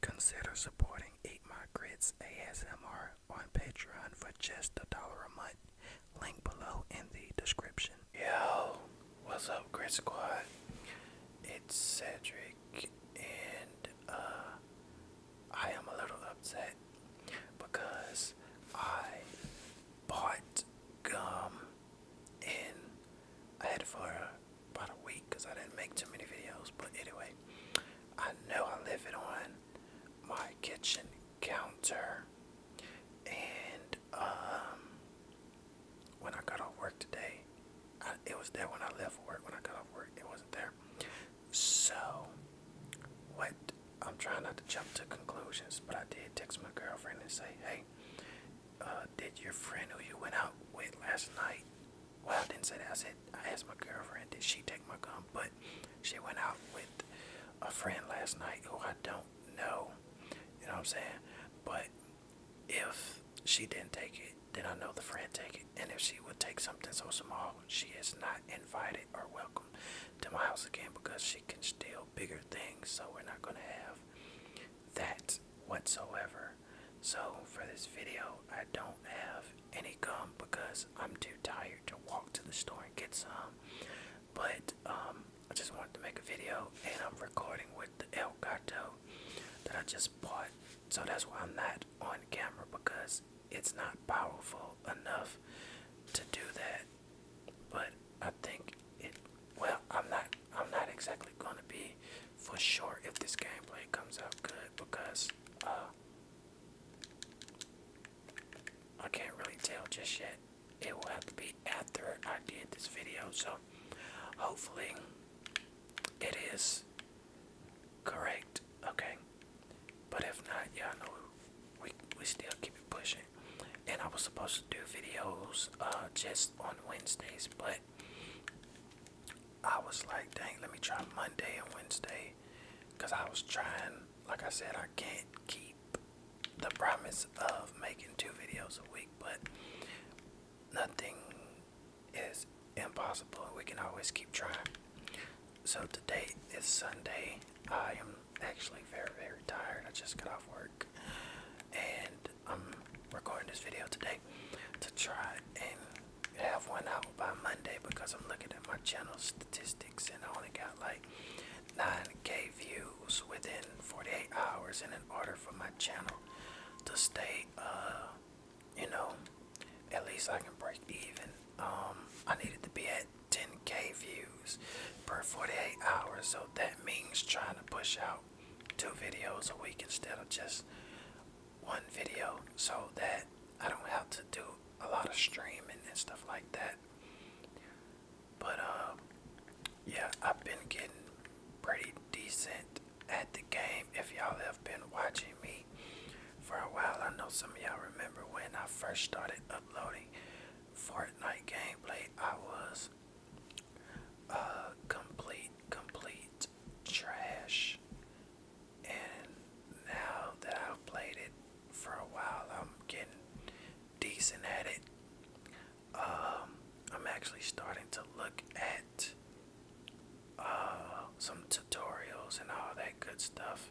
Consider supporting Eight My Grits ASMR on Patreon for just a dollar a month. Link below in the description. Yo, what's up, Grit Squad? It's Cedric, and uh, I am a little upset because I bought gum and I had it for about a week because I didn't make too many videos. But anyway, I know I leave it on my kitchen counter. And um, when I got off work today, it was there when I left work. When I got off work, it wasn't there. So, what I'm trying not to jump to conclusions, but I did text my girlfriend and say, hey, uh, did your friend who you went out with last night? Well, I didn't say that. I said, I asked my girlfriend, did she take my gun? But she went out with a friend last night who I don't know. You know what I'm saying? But if she didn't take it, then I know the friend took it. And if she would take something so small, she is not invited or welcome to my house again because she can steal bigger things, so we're not going to have that whatsoever. So, for this video, I don't have any gum because I'm too tired to walk to the store and get some. But, um, I just wanted to make a video, and I'm recording with the El Gato that I just bought. So, that's why I'm not on camera because it's not powerful enough to do that. But I think it well, I'm not I'm not exactly gonna be for sure if this gameplay comes out good because uh, I can't really tell just yet. It will have to be after I did this video, so hopefully it is correct. Okay. But if not, y'all know we we still keep it pushing. And I was supposed to do videos uh just on Wednesdays, but I was like, dang, let me try Monday and Wednesday. Cause I was trying, like I said, I can't keep the promise of making two videos a week, but nothing is impossible. We can always keep trying. So today is Sunday. I am actually very, very tired. I just got off work and I'm recording this video today to try and have one out by Monday because I'm looking at my channel statistics and I only got like 9k views within 48 hours. And in order for my channel to stay, uh, you know, at least I can break even, um, I needed to be at 10k views per 48 hours. So that means trying to push out two videos a week instead of just one video so that I don't have to do a lot of streaming and stuff like that. But uh, yeah, I've been getting pretty decent at the game. If y'all have been watching me for a while, I know some of y'all remember when I first started uploading Fortnite gameplay, I was a uh, complete complete trash. And now that I've played it for a while, I'm getting decent at it. Um, I'm actually starting to look at uh, some tutorials and all that good stuff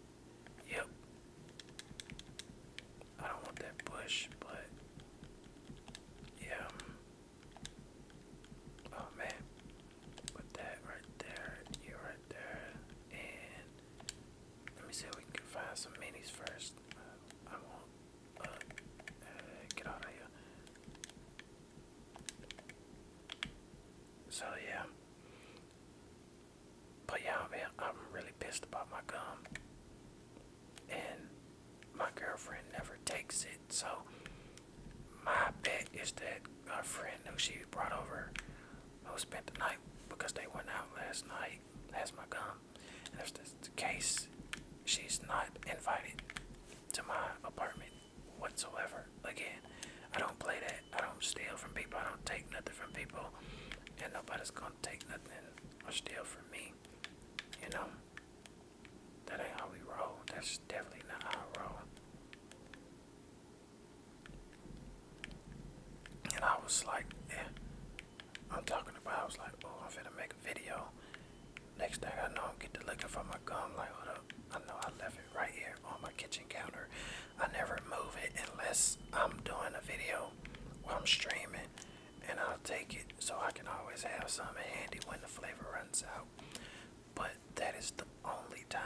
Yep. I don't want that bush, but yeah. Oh man. Put that right there, you right there, and let me see if we can find some minis first. I won't uh, get out of here. So yeah, but yeah, man, I'm really pissed about my gum. And my girlfriend never takes it, so my bet is that my friend who she brought over, who spent the night because they went out last night, has my gum. And if that's the case, she's not invited to my apartment whatsoever. Again, I don't play that. I don't steal from people. I don't take nothing from people. And nobody's gonna take nothing or steal from me. You know? That ain't how we roll. That's definitely not how we roll. And I was like, yeah, I'm talking about, I was like, oh, I'm finna make a video. Next thing I know, I'm get getting looking for my gum. Like, hold up, I know I left it right here on my kitchen counter. I never move it unless I'm doing a video or I'm streaming and I'll take it so I can always have some handy when the flavor runs out. But that is the only time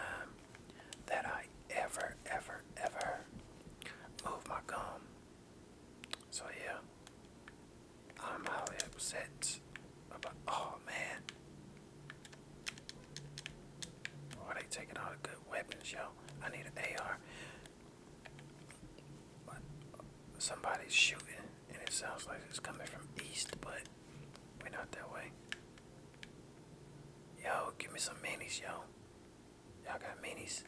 that I ever, ever, ever move my gum. So yeah, I'm all upset about, oh man, why oh, they taking all the good weapons, yo? I need an AR. But uh, somebody's shooting, and it sounds like it's coming from east, but we're not that way. Yo, give me some minis, yo. Y'all got minis.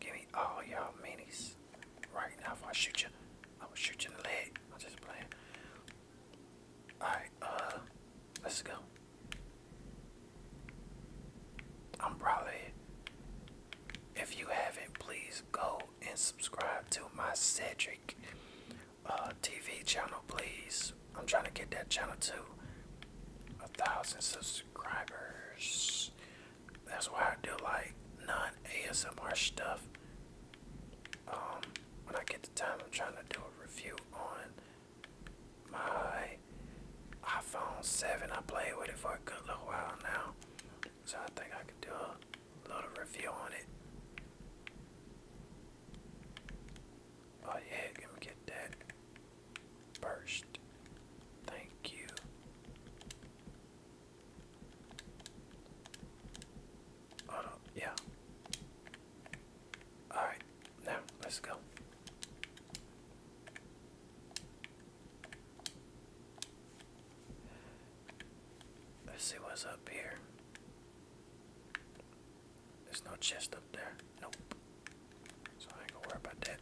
Give me all y'all minis right now if I shoot you. I'm shooting the leg. I'm just playing. Alright, uh, let's go. I'm probably, if you haven't, please go and subscribe to my Cedric uh, TV channel, please. I'm trying to get that channel to a thousand subscribers. That's why I do like non ASMR stuff. Um, when I get the time, I'm trying to do a review on my iPhone 7. I played with it for a good little while now, so I think I can do a little review on it. Oh yeah, let me get that burst. Thank you. Oh yeah. Alright, now let's go. Let's see what's up here. There's no chest up there. Nope. So I ain't gonna worry about that.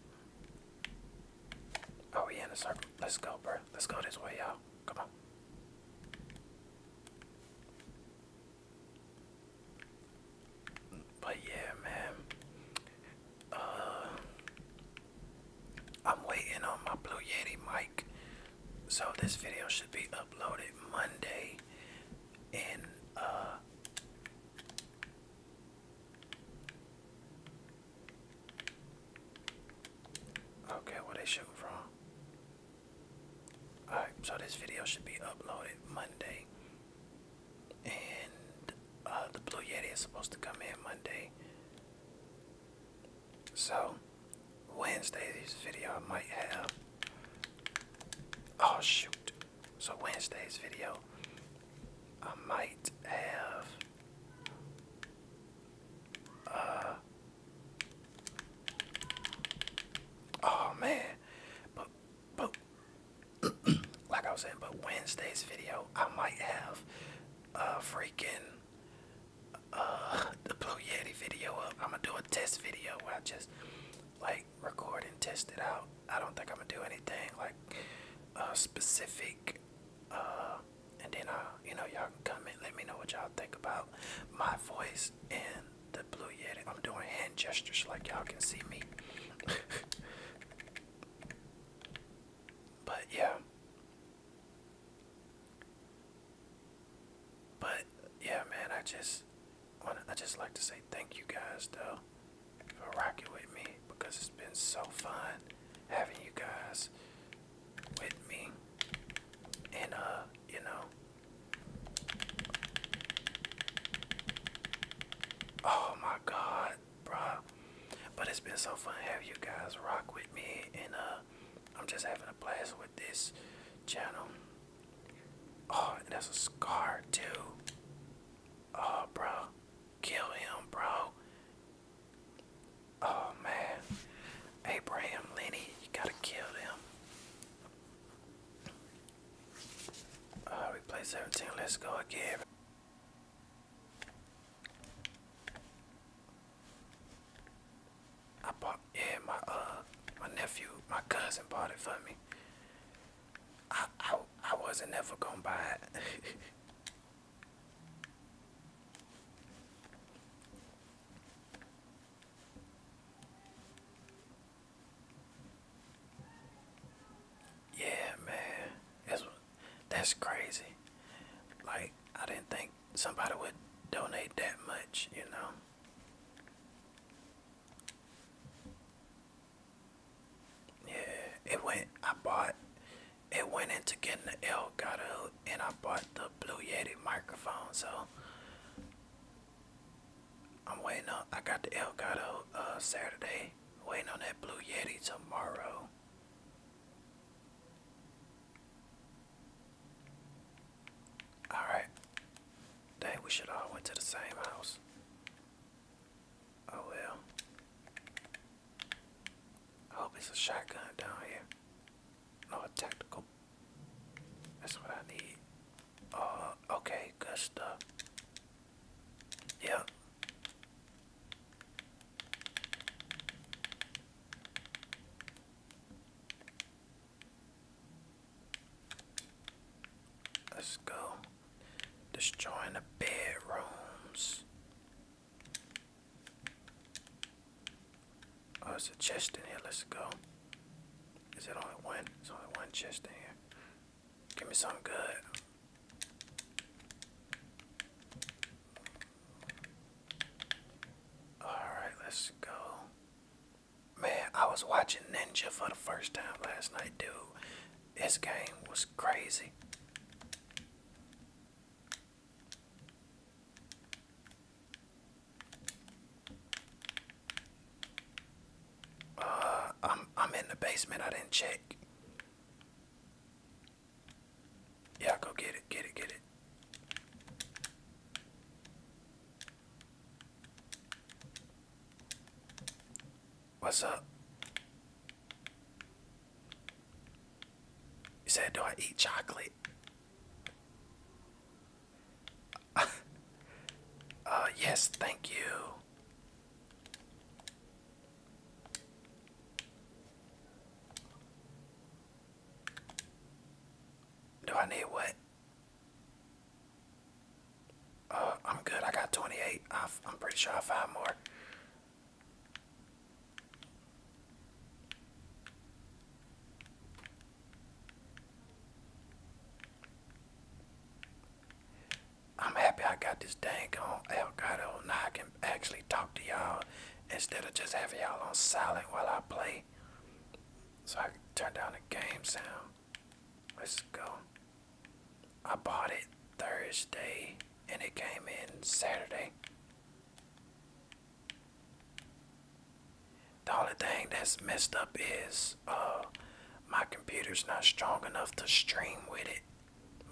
Oh, we in a circle. Let's go, bro. Let's go this way, y'all. Come on. But yeah, man. Uh, I'm waiting on my Blue Yeti mic, so this video should be uploaded Monday. And uh, okay, where they shooting from? Alright, so this video should be uploaded Monday. And uh, the Blue Yeti is supposed to come in Monday. So, Wednesday's video I might have. Oh, shoot. So, Wednesday's video I might have. Uh, Oh man, but but like I was saying, but Wednesday's video I might have uh freaking uh the Blue Yeti video up. I'm gonna do a test video where I just like record and test it out. I don't think I'm gonna do anything like uh specific uh and then uh you know y'all can comment let me know what y'all think about my voice and the blue yeti. I'm doing hand gestures like y'all can see me. but yeah. But yeah, man, I just wanna, I just like to say thank you guys though for rocking with me because it's been so fun having you guys with me. in a uh, you know. Oh my god, bro! But it's been so fun having you guys rock with me. And, uh, I'm just having a blast with this channel. Oh, and that's a scar, too. Oh, bro. Kill him, bro. Oh, man. Abraham Lenny, you gotta kill him. Uh, we play 17. Let's go again. I bought, yeah, my uh, my nephew, my cousin bought it for me. I I, I wasn't ever gonna buy it. Yeah, man, that's that's crazy. Like I didn't think somebody would donate that much, you know. Yeah, it went. I bought. It went into getting the L. Got a and I bought the Blue Yeti microphone. So I'm waiting on, I got the Elgato uh, Saturday, waiting on that Blue Yeti tomorrow. Alright. Dang, we should all went to the same house. Oh well. I hope it's a shotgun down here. More tactical. That's what I need. Uh, okay, good stuff. Yeah. Let's go. Destroying the bedrooms. Oh, it's a chest in here. Let's go. Is it only one? It's only one chest in here. Give me something good. Alright, let's go. Man, I was watching Ninja for the first time last night, dude. This game was crazy. Uh, I'm I'm in the basement. I didn't check. Yeah, go get it, get it, get it. What's up? You said, do I eat chocolate? uh, yes, thank you. Do I need what? Uh, I'm good. I got 28. i am pretty sure I'll find more. I'm happy I got this dang on Elgato and I can actually talk to y'all instead of just having y'all on silent while I play. So I can turn down the game sound. Let's go. I bought it Thursday and it came in Saturday. The only thing that's messed up is uh, my computer's not strong enough to stream with it.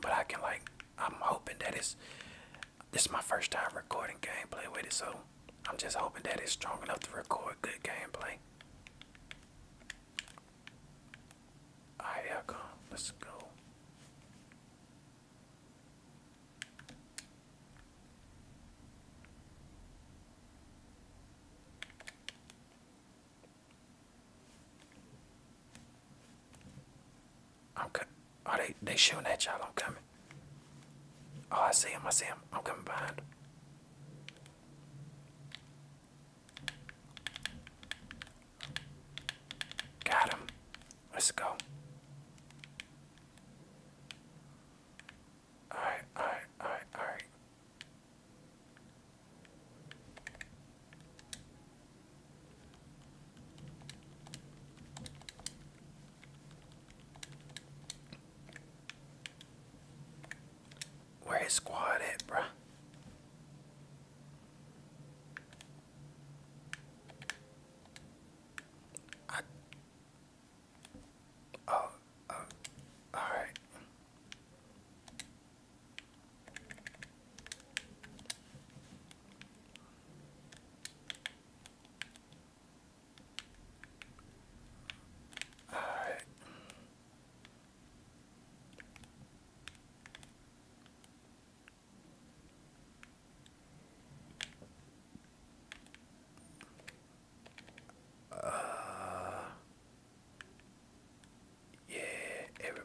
But I can like I'm hoping that it's this is my first time recording gameplay with it, so I'm just hoping that it's strong enough to record good gameplay. Alright, y'all go. Let's go. I'm coming. Oh, they, they showing that y'all. I'm coming. Oh, I see him. I see him. I'm coming behind Got him. Let's go. Alright, alright, alright, alright. Where his squad at, bruh? I Oh, oh, all right. All right. Uh, yeah, every,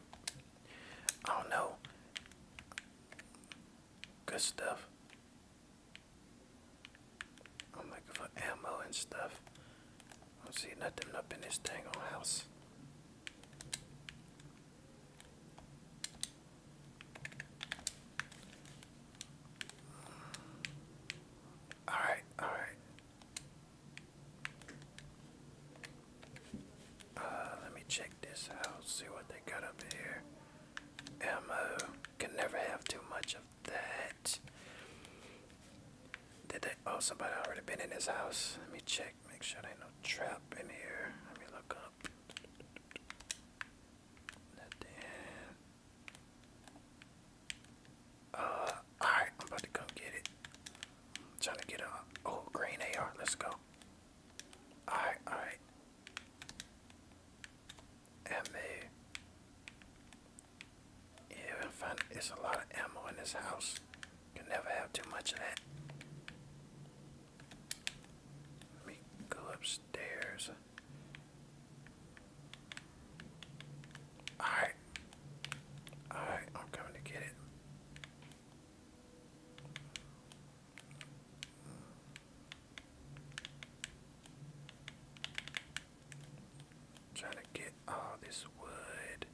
I don't know. Good stuff. I'm looking for ammo and stuff. I don't see nothing up in this dang old house. All right, all right. Uh, let me check this out, see what they got up here. Ammo, can never have too much of that. Did they, oh, somebody already been in this house. Let me check, make sure there ain't no trap in here. Let me look up. Nothing. Uh, alright, I'm about to go get it. trying to get a oh green AR, let's go. Alright, alright. MA. Yeah, I find it's a lot of ammo in this house. Can never have too much of that. Let me go upstairs. Alright. Alright, I'm coming to get it. Trying to get all this wood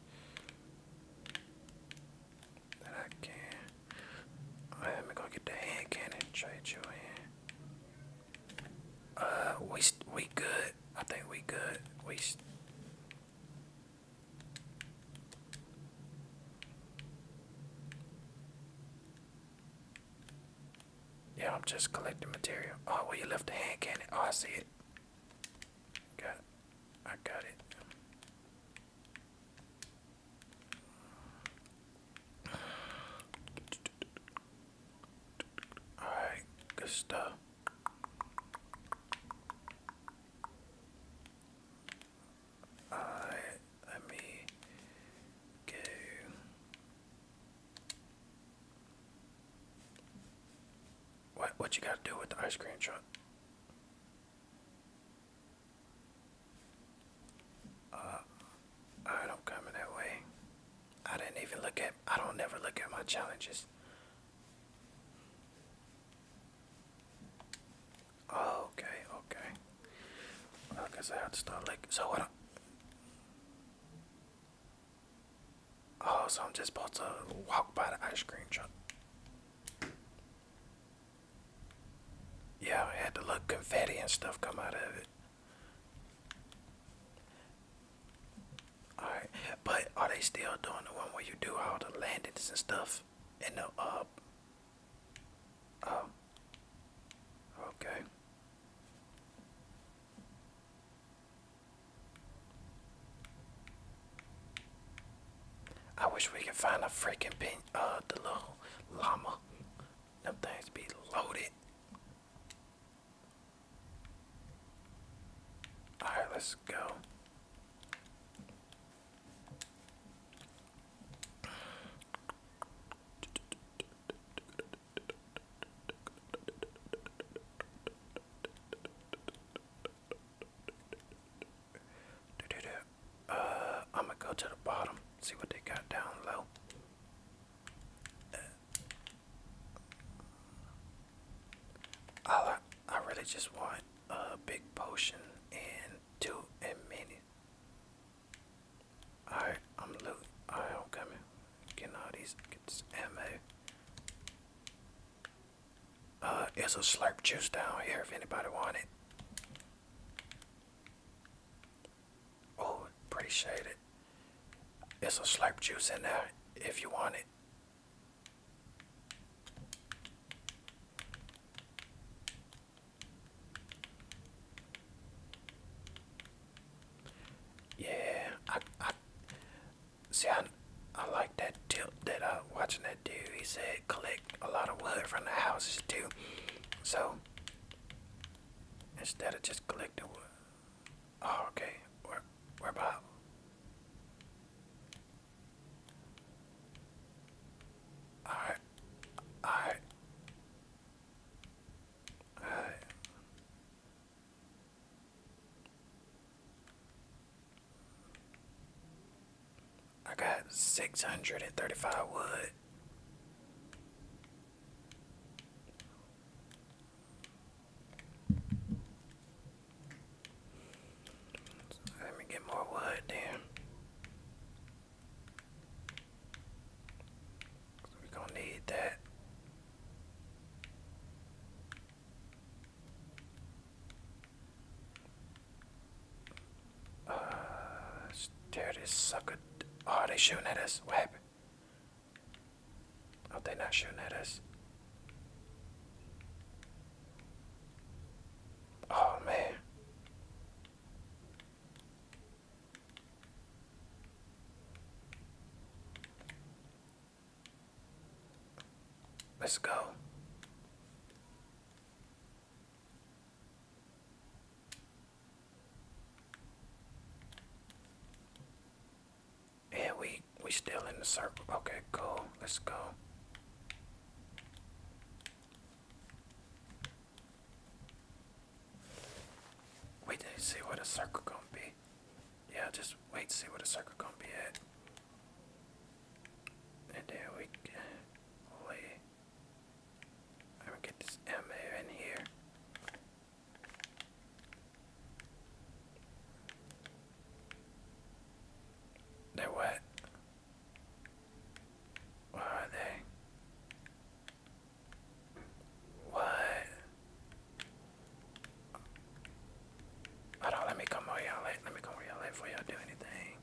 that I can. let me go get the hand cannon. Trade you in. Uh, we we good. I think we good. We. Yeah, I'm just collecting material. Oh, well you left the hand cannon? Oh, I see it. Got it. I got it. Alright, good stuff. Alright, let me go. What what you gotta do with the ice cream Uh, I don't come in that way. I didn't even look at I don't never look at my challenges. Oh, okay, okay. Well, I guess to start like so what Oh, so I'm just about to walk by the ice cream truck. Yeah, I had to look confetti and stuff come out of it. Alright, but are they still doing the one where you do all the landings and stuff in the uh oh okay I wish we could find a freaking pin uh the little llama. Them things be loaded. Alright, let's go. Uh, I'm gonna go to the bottom, see what they got down low. I, I really just want a big potion in two and Alright, I'm loot. I'm coming. Getting all these. ammo. Uh, there's a slurp juice down here if anybody want Oh, pretty shaded. It's a slurp juice in there if you want it. Yeah, I, I see. I, I like that tip that I uh, watching that dude. He said collect a lot of wood from the houses too. So instead of just collecting wood, Oh, okay. Where, where about? Alright. Alright. Alright. I got six hundred and thirty-five wood. Let me get more wood there. we gonna need that. Uh, this sucker. Oh, they shooting at us. What are they not shooting at us? Oh man. Let's go. Yeah, we we still in the circle. Okay, cool. Let's go. Wait to see what a circle going be. Yeah, just wait to see what a circle going be at. And there we go. I'm gonna get this MA in here. They're wet. Where are they? What? Hold on, let me come where y'all Let me come where y'all before y'all do anything.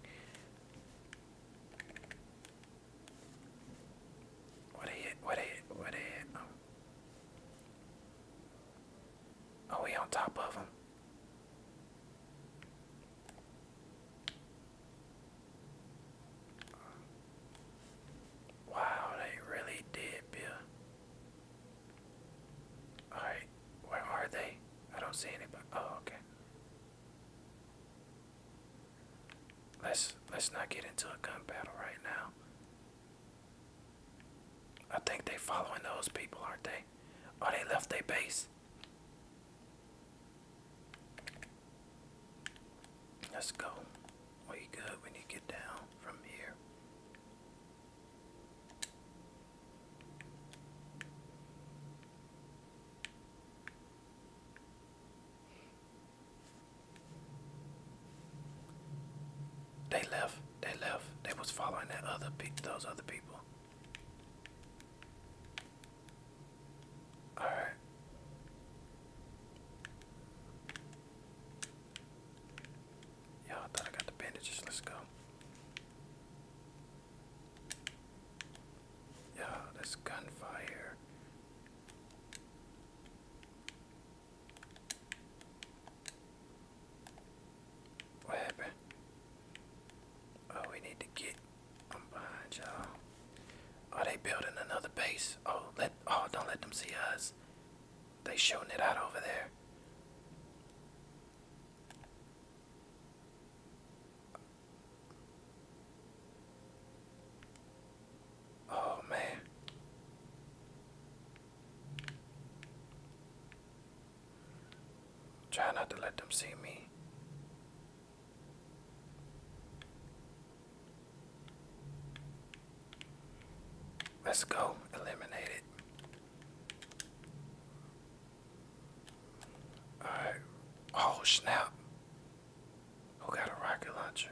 What are What are What are are oh, we on top of him. Wow, they really did, Bill. Alright, where are they? I don't see anybody. Oh, okay. Let's let's not get into a gun battle right now. I think they are following those people, aren't they? Oh, they left their base. Let's go. Are good when you get down from here? They left. They left. They was following that other pe those other people. All right. Yeah, I thought I got the bandages. Let's go. Yeah, that's gunfire. What happened? Oh, we need to get. behind y'all. Are oh, they building another base? Oh, let. Oh, don't let them see us. They showing it out over there. Oh man. Try not to let them see me. Let's go. Eliminate it. Alright. Oh, snap. Who got a rocket launcher?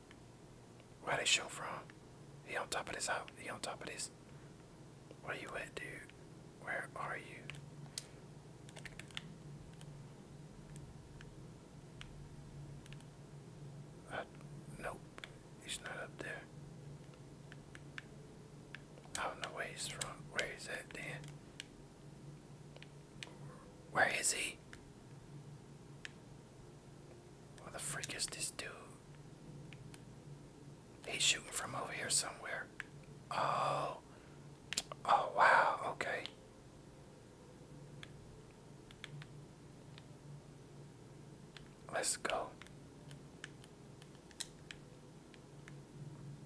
Where they show from? He on top of this house. He on top of this. Where you at, dude? Where are you? Uh, nope, he's not up there. I don't know where he's from. Where is that then? Where is he? What the freak is this dude? He's shooting from over here somewhere. Oh. Oh, wow. Okay. Let's go.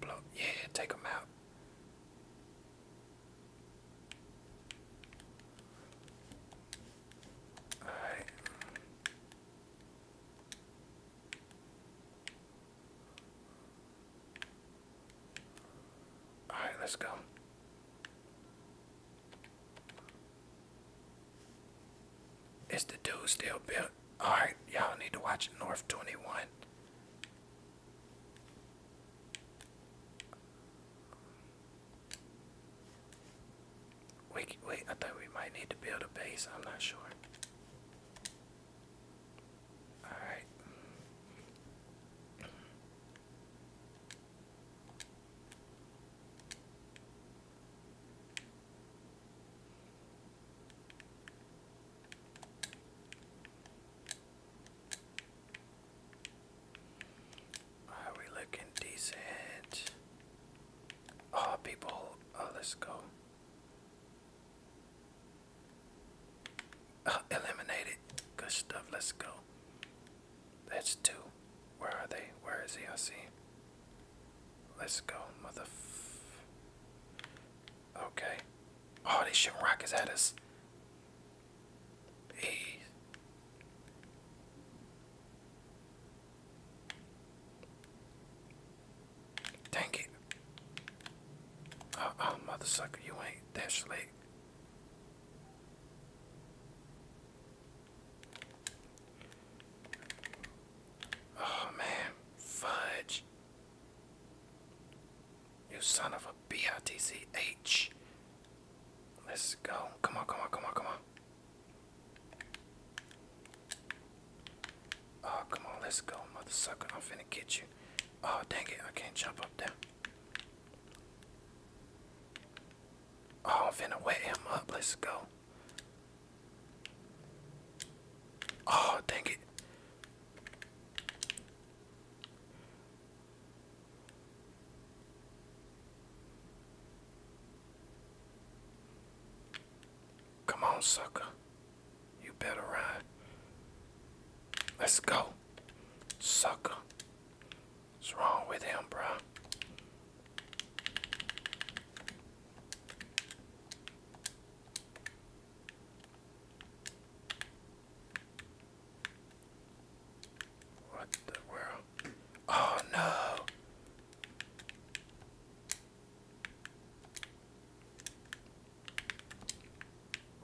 Blow. Yeah, take him out. All right. All right, let's go. Is the dude still built? All right, y'all need to watch North 21. Wait, wait, I thought we might need to build a base. I'm not sure. Alright. Are we looking decent? Oh, people. Oh, let's go. Oh, eliminate Good stuff. Let's go. That's two. Where are they? Where is he? I see Let's go, mother. Okay. Oh, they shooting rockets at us. Hey. Dang it. Oh, oh you ain't that slick. Oh man, fudge. You son of a BITCH. Let's go. Come on, come on, come on, come on. Oh, come on, let's go, mother sucker. I'm finna get you. Oh, dang it, I can't jump up there. Oh, I'm finna wet him up. Let's go. Oh, dang it. Come on, sucker. You better ride. Let's go. Sucker. What's wrong with him, bro? What the world? Oh no.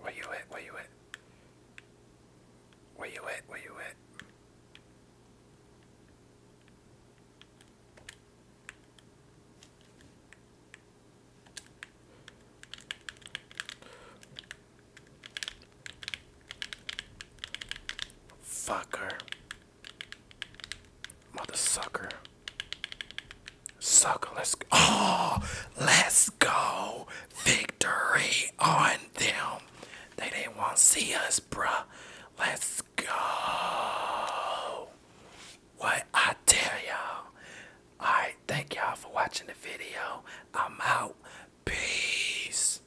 Where you at? Where you at? Where you at? Where you at? Fucker. Mother sucker. Sucker, let's go. Oh, let's go. Victory on them. They didn't want to see us, bruh. Let's go. What I tell y'all. Alright, thank y'all for watching the video. I'm out. Peace.